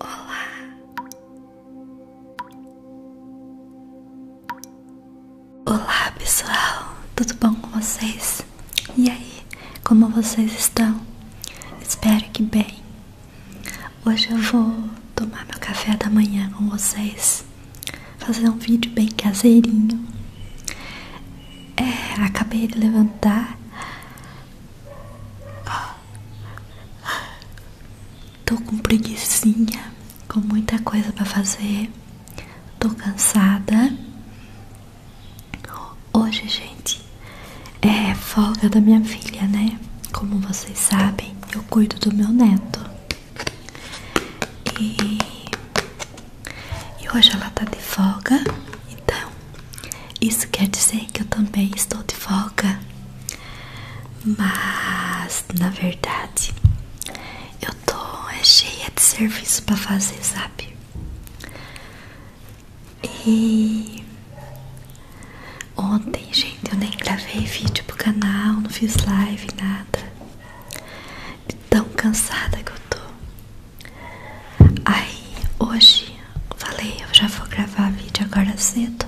Olá. Olá, pessoal. Tudo bom com vocês? E aí, como vocês estão? Espero que bem. Hoje eu vou tomar meu café da manhã com vocês. Fazer um vídeo bem caseirinho. É, acabei de levantar. Tô com preguiçinha, com muita coisa para fazer. Tô cansada. Hoje, gente, é folga da minha filha, né? Como vocês sabem, eu cuido do meu neto. E, e hoje ela tá de folga então, isso quer dizer que eu também estou de folga, mas na verdade eu tô cheia de serviço para fazer, sabe? E ontem, gente, eu nem gravei vídeo pro canal, não fiz live, nada. De tão cansada que eu tô. Aí hoje falei, eu já vou gravar vídeo agora cedo.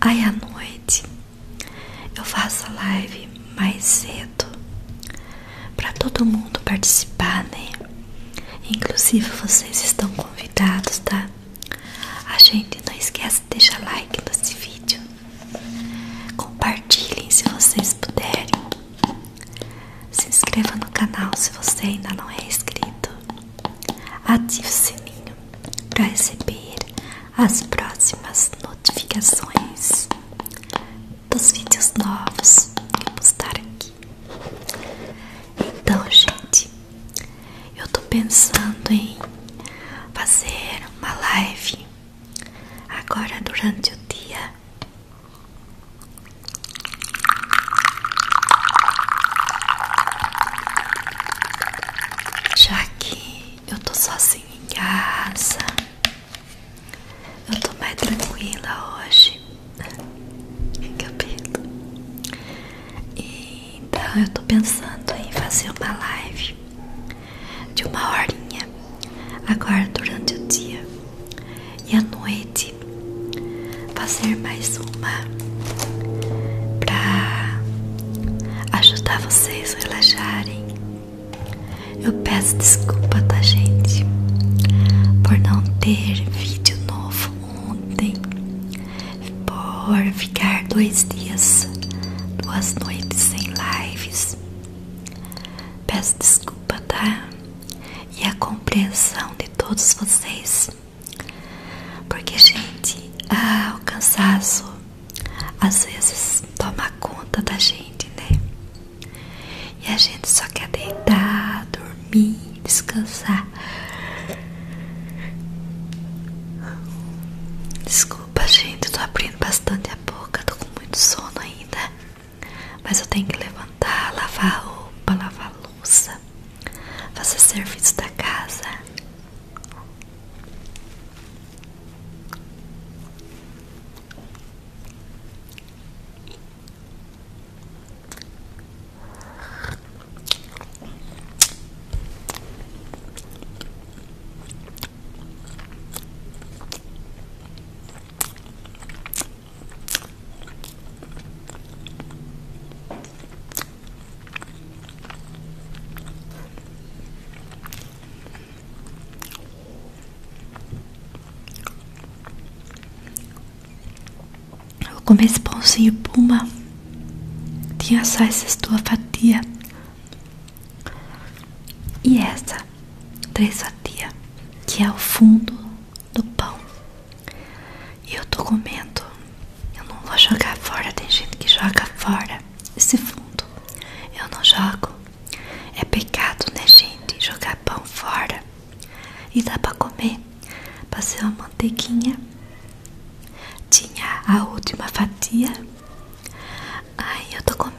Aí à noite eu faço a live mais cedo para todo mundo participar, né? Inclusive vocês estão convidados, tá? A gente não esquece de deixar like nesse vídeo. Compartilhem se vocês puderem. Se inscreva no canal se você ainda não é inscrito. Ative o sininho para receber as próximas notificações dos vídeos novos que eu postar aqui. Então, gente, eu estou pensando em fazer uma live agora durante o dia já que eu tô sozinha em casa, eu tô mais tranquila hoje. Capito? E, então eu tô pensando em fazer uma live de uma horinha Agora durante o dia e a noite fazer mais uma para ajudar vocês relaxarem. Eu peço desculpa, tá gente, por não ter vídeo novo ontem, por ficar dois dias, duas noites sem lives. Peço desculpa, tá? e a compreensão de todos vocês. Porque, gente, ah, o cansaço às vezes toma conta da gente, né? E a gente só quer deitar, dormir, descansar. Desculpa, gente, tô abrindo bastante a boca, tô com muito sono ainda. Mas eu tenho que levantar, lavar roupa, lavar louça, fazer serviço da casa. Eu comi esse pãozinho puma. Tinha só essas duas fatias. E essa três fatia que é o fundo do pão. E eu tô comendo. Eu não vou jogar fora. Tem gente que joga fora esse fundo. Eu não jogo. É pecado, né, gente? Jogar pão fora. E dá para comer. Passei uma mantequinha. Tinha a última fatia. Ai, eu tô comendo.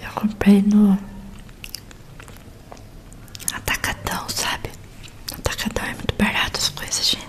Eu comprei no Atacadão, sabe? Atacadão é muito barato as coisas, gente.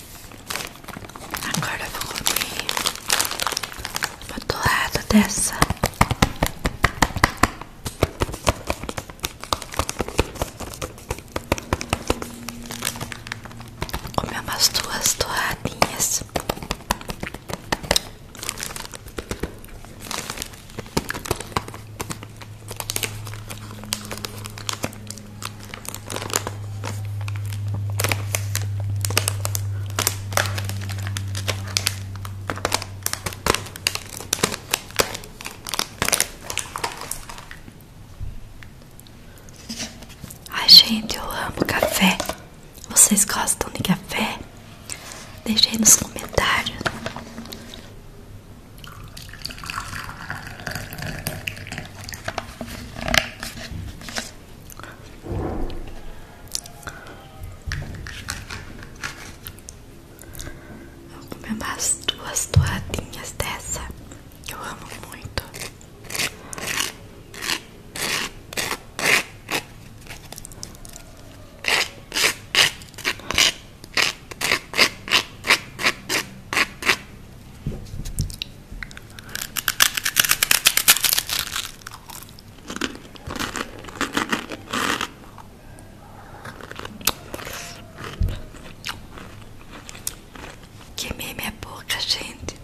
Agora eu vou cobrir o outro dessa. Comer umas duas torradinhas. Ai, gente, eu amo café. Vocês gostam de café? Deixe aí nos comentários. Vou comer mais duas torradinhas dessa que eu amo muito. Que Queimei minha é boca, gente.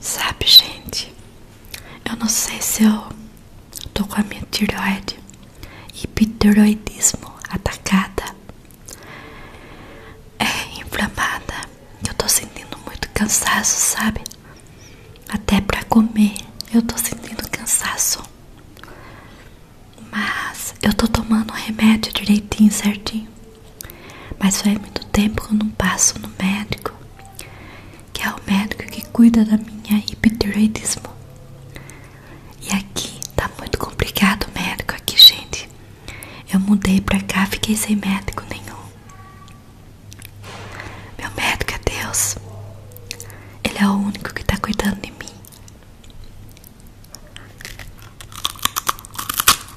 Sabe, gente, eu não sei se eu tô com a minha tireoide hiptiroidismo atacada, é inflamada. Eu tô sentindo muito cansaço, sabe? Até pra comer eu tô sentindo cansaço. Mas eu tô tomando o remédio direitinho, certinho. Mas faz muito tempo que eu não passo no médico, que é o médico que cuida da minha hipotireoidismo. E aqui tá muito complicado o médico aqui, gente. Eu mudei pra cá, fiquei sem médico nenhum. Meu médico é Deus. Ele é o único que tá cuidando de mim.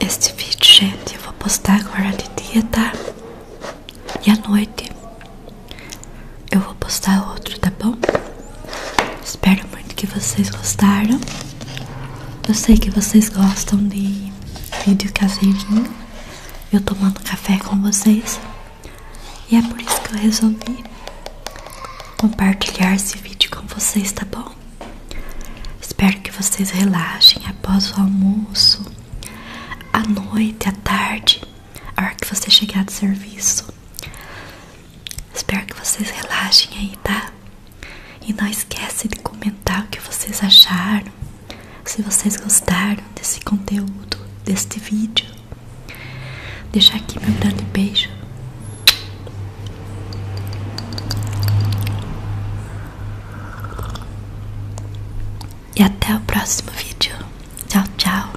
Este vídeo, gente, eu vou postar agora de dia, tá? E à noite eu vou postar outro, tá bom? Espero muito que vocês gostaram. Eu sei que vocês gostam de vídeo caseirinho, eu tomando café com vocês, e é por isso que eu resolvi compartilhar esse vídeo com vocês, tá bom? Espero que vocês relaxem após o almoço, à noite, à tarde, a hora que você chegar do serviço. Espero que vocês relaxem aí, tá? E não esquece de comentar o que vocês acharam, se vocês gostaram desse conteúdo, deste vídeo. Deixa aqui meu grande beijo. E até o próximo vídeo. Tchau, tchau.